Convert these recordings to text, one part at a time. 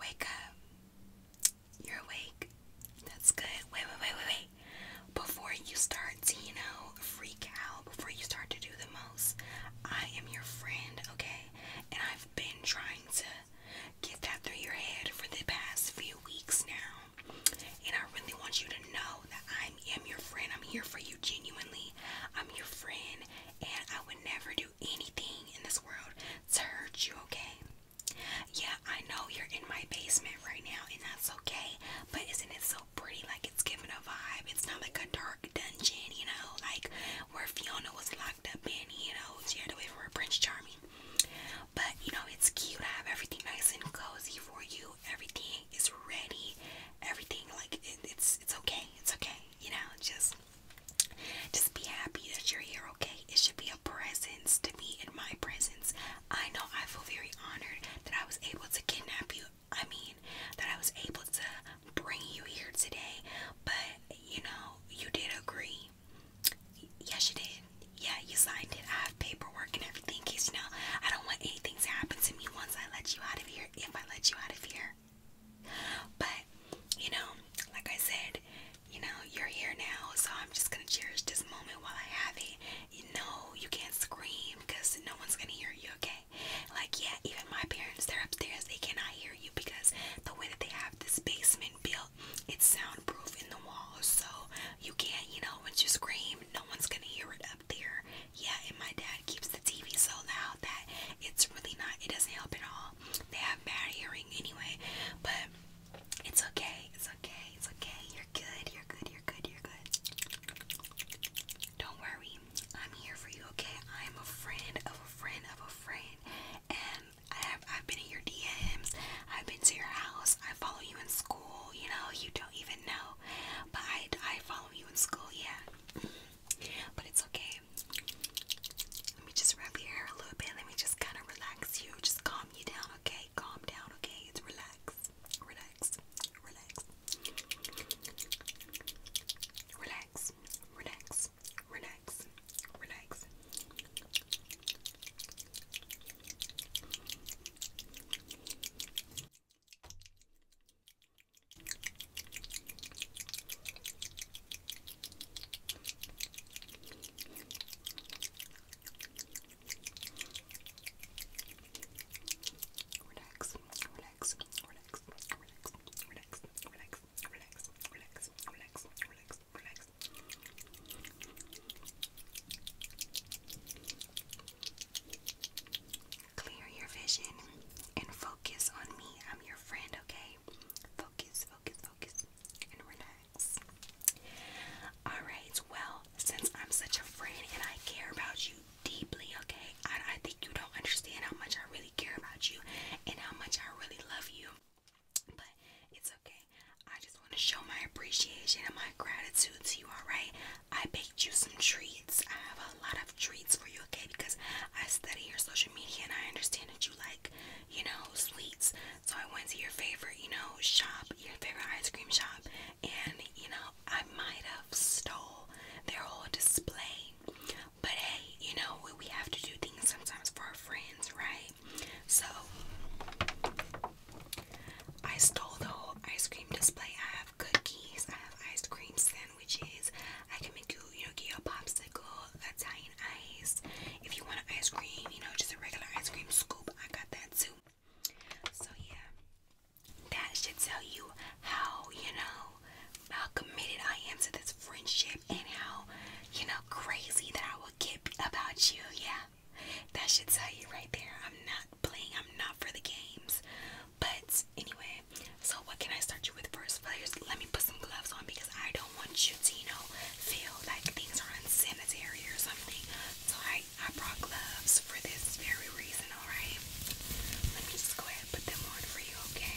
Wake up. You're awake. That's good. Wait, wait, wait, wait, wait. Before you start you know, freak out, before you start to do the most, I am your friend, okay? And I've been trying to get that through your head for the past few weeks now. And I really want you to know that I am your friend. I'm here for you genuinely. I'm your friend, and I would never do anything in this world to hurt you, okay? Yeah, I know you're in my basement right now, and that's okay, but isn't it so pretty? Like, it's giving a vibe. It's not like a dark dungeon, you know, like where Fiona was locked up in, you know, she had to wait for Prince Charming. But, you know, it's cute. I have everything nice and cozy for you. Everything is ready. Everything, like, it's, it's okay. It's okay, you know, just just be happy that you're here, okay? It should be a presence to me in my presence. I know I feel very honored that I was able to kidnap you. I mean, that I was able to bring you here today. But, you know, you did agree. Yes, you did. Yeah, you signed it. I have paperwork and everything in case, you know, I don't want anything to happen to me once I let you out of here, if I let you out of here. But, you know, like I said, you know, you're here now, so I'm just gonna cherish this moment while I have it. You know, you can't scream because no one's gonna hear you, okay? Like, yeah, even my parents, they're upstairs, they cannot hear you because the way that they have this basement built, it's soundproof in the walls, so you can't, you know, once you scream, no one's gonna hear it up there. Yeah, and my dad keeps the TV so loud that it's really not, it doesn't help at all. They have bad hearing anyway, but it's okay. It's okay. It's okay. You're good. You're good. You're good. You're good. Don't worry. I'm here for you, okay? I'm a friend of a friend of a friend. And I have, I've been in your DMs. I've been to your house. I follow you in school. You know, you don't even know. But I, I follow you in school, yeah but it's okay. Let me just wrap your hair a little bit. Let me just kind of relax you. Just calm you down, okay? Calm down, okay? relax, relax, relax, relax, relax, relax. Relax, relax, relax, relax, relax, relax, relax, relax, relax, relax, relax. Clear your vision and focus on me. I'm your friend, okay? Focus, focus, focus, and relax. Alright, well, since I'm such a friend and I care about you deeply, okay? I, think you don't understand how much I really care about you and how much I really love you. But it's okay. I just want to show my appreciation and my gratitude to you, alright? I baked you some treats. I have a lot of treats for you, okay? Because I study your social media and I understand that you like, you know, sweets. So I went to your favorite, you know, shop, your favorite ice cream shop, and you know, I might have stole their whole display. But hey, you know, we, have to do things sometimes for our friends, right? So I stole the whole ice cream display. I have cookies, I have ice cream which is I can make you, you know, get your popsicle, Italian ice. If you want an ice cream, you know, just a regular ice cream scoop, I got that too. So yeah, that should tell you how, you know, how committed I am to this friendship and how, you know, crazy that I will get about you. Yeah, that should tell you right there. I'm not playing, I'm not for the games. But anyway, so what can I start you with first? let me put some gloves on because I don't want you to, you know, feel like things are unsanitary or something. So I, I brought gloves for this very reason, alright? Let me just go ahead and put them on for you, Okay,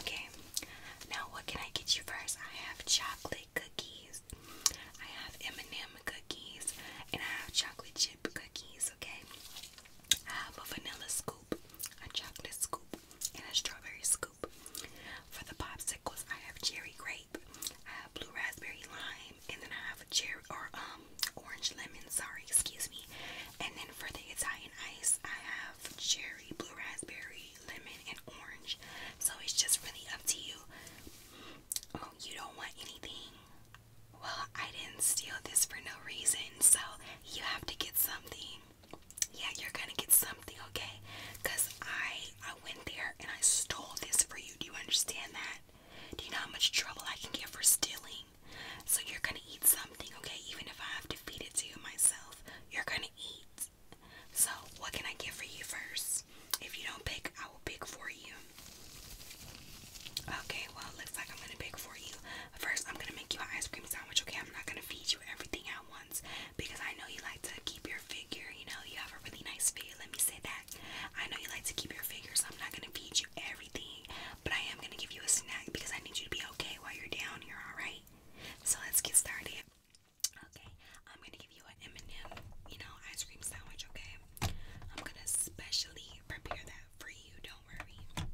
Okay, now what can I get you first? I have chocolate cookies, I have M&M cookies, and I have chocolate chip cookies. Okay, I have a vanilla scoop, a chocolate scoop, and a strawberry scoop. For the popsicles, I have cherry grape, I have blue raspberry lime, and then I have a cherry or um orange lemon. Sorry, excuse me. And then for the Italian ice, I have cherry, blue raspberry, lemon, and orange. So it's just really up to you. Oh, you don't want anything? Well, I didn't steal this for no reason, so you have to get something. Yeah, you're gonna get something, okay? Cause I I went there and I stole this for you. Do you understand that? Do you know how much trouble I can get for stealing? So you're gonna eat something, okay? Even if I have to feed it to you myself, you're gonna eat. So, what can I get for you first? If you don't pick, I will pick for you. Okay, well, it looks like I'm gonna pick for you. First, I'm gonna make you an ice cream sandwich, okay? I'm not gonna feed you everything at once because I know you like to keep your figure, you know, you have a really nice figure. Let me say that. I know you like to keep your figure, so I'm not gonna feed you everything, but I am gonna give you a snack because I need you to be okay while you're down here, alright? So, let's get started. Okay, I'm gonna give you an M&M, you know, ice cream sandwich. Okay, I'm gonna specially prepare that for you. Don't worry.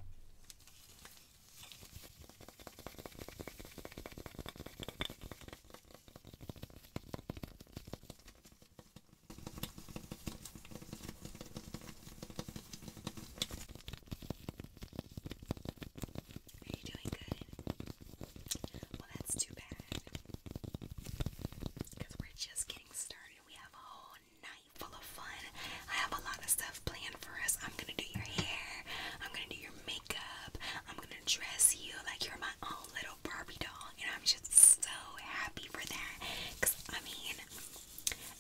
Are you doing good? Well, that's too bad. Because we're just getting started. We have a whole night full of fun. I have a lot of stuff planned for us. I'm going to do your hair. I'm going to do your makeup. I'm going to dress you like you're my own little Barbie doll. And I'm just so happy for that. Because, I mean,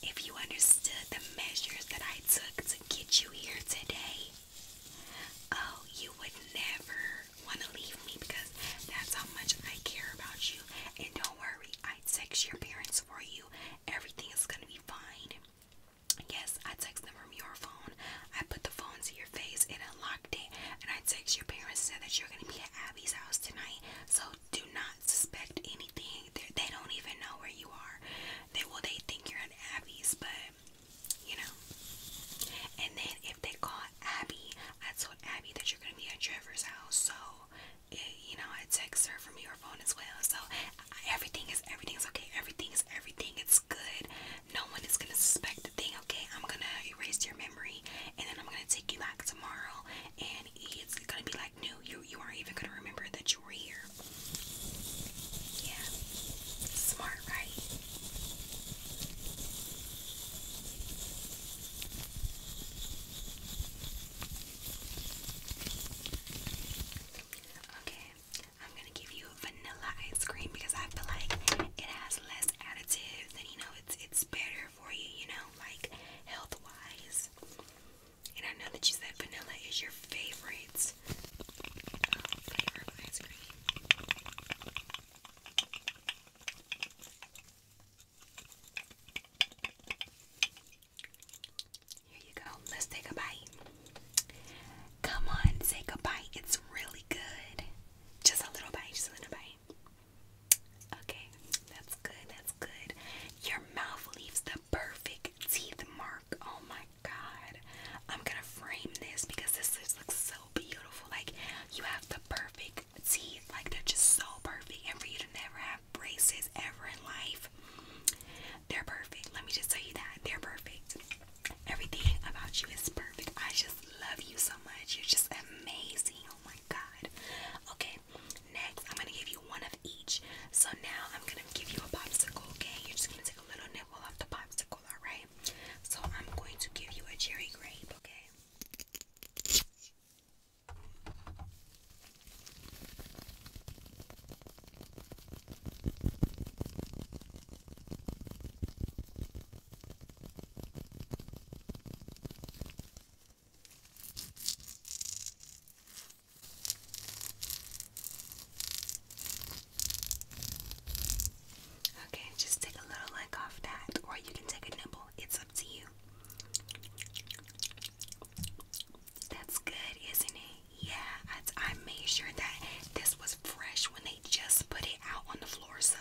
if you understood the measures that I took to get you here today, Oh, you would never want to leave me because that's how much I care about you. And don't worry, I text your parents for you. Everything is going to be fine. Yes, I text them from your phone. I put the phone to your face and unlocked it. And I text your parents said that you're going to be at Abby's house tonight. So do not suspect anything. They're, they do not even know where you are. They will. they think you're at Abby's, but you know. And then if they call Abby, I told Abby that you're gonna be at Trevor's house, so you know I text her from your phone as well. So everything is everything is okay. Everything is everything. It's good. No one is gonna suspect a thing. Okay, I'm gonna erase your memory, and then I'm gonna take you back tomorrow, and it's gonna be like new. You you aren't even gonna remember that you were here. Yeah, smart, right? Okay, I'm gonna give you vanilla ice cream because I feel like it has less additives and you know it's it's better for you, you know, like health wise. And I know that you said vanilla is your favorite this um, flavor of ice Here you go. Let's take a bite. Come on, take a bite. It's really good. Just a little bite, just a little bite. Okay, that's good, that's good. Your mouth leaves the perfect teeth mark. Oh my god. I'm gonna frame this because this looks so beautiful. Like you have the perfect teeth. Like they're just so perfect. And for you to never have braces ever in life, they're perfect. Let me just tell you that. They're perfect. Everything about you is perfect. I just love you so much. You're just amazing. Oh my god. Okay, next I'm gonna give you one of each. So now I'm gonna give you a popsicle, okay? You're just gonna take a little nibble off the pops alright? So I'm going to give you a cherry grape, okay? Okay, just take a little leg off that, or you can take a nibble. It's up to you. That's good, isn't it? Yeah, I, made sure that this was fresh when they just put it out on the floor, so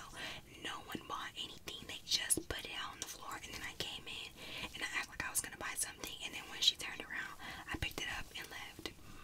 no one bought anything. They just put it on the floor, and then I came in and I acted like I was gonna buy something, and then when she turned around, I picked it up and left.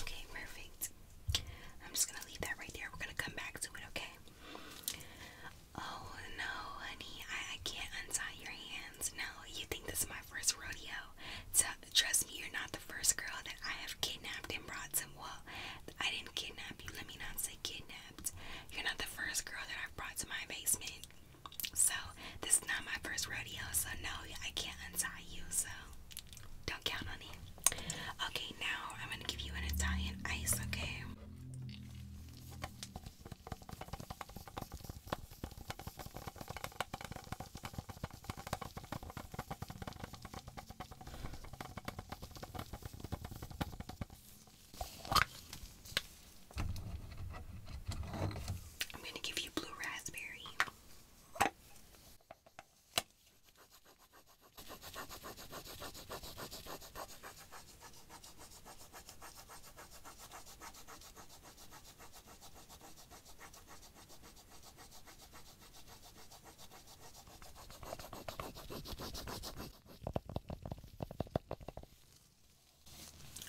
Okay, perfect. I'm just gonna leave that right there. We're gonna come back to it, okay? Oh no, honey, I, can't untie your hands. No, you think this is my first rodeo. trust me, you're not the first girl that I have kidnapped and brought to. Well, I didn't kidnap you, let me not say kidnapped. You're not the first girl that I've brought to my basement. So, this is not my first rodeo, so no, I can't untie you, so don't count on me. Okay, now I'm gonna give you an Italian ice, okay? I'm going to give you blue raspberry.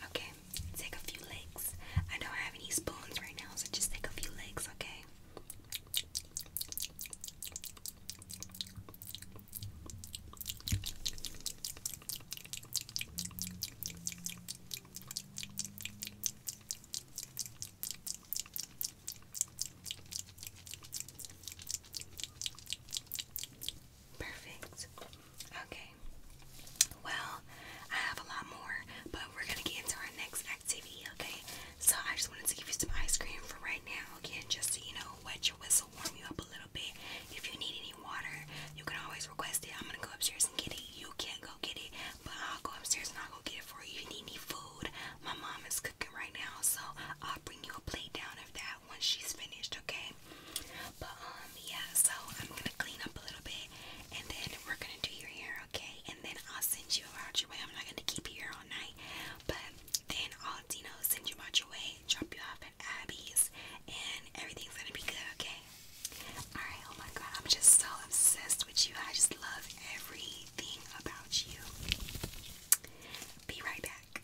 Okay, take a few legs. I don't have any spoons right now, so just take a few legs, okay? Perfect. Okay. Well, I have a lot more, but we're gonna get into our next activity, okay? So I just wanted to give you some ice cream for right now, again, just so you know wet your whistle, warm you up a little bit. If you need any water, you can always request it. I'm gonna go upstairs and get it. You can't go get it, but I'll go upstairs and I'll go get it for you. If you need any food, my mom is cooking right now, so I'll bring you a plate down of that once she's finished, okay? But um yeah, so I'm gonna clean up a little bit and then we're gonna do your hair, okay? And then I'll send you out your way. I'm not gonna keep you here all night, but then I'll send you out your way, drop you off at Abby's and everything's gonna be good, okay? Alright, oh my god, I'm just so obsessed with you. I just love everything about you. Be right back.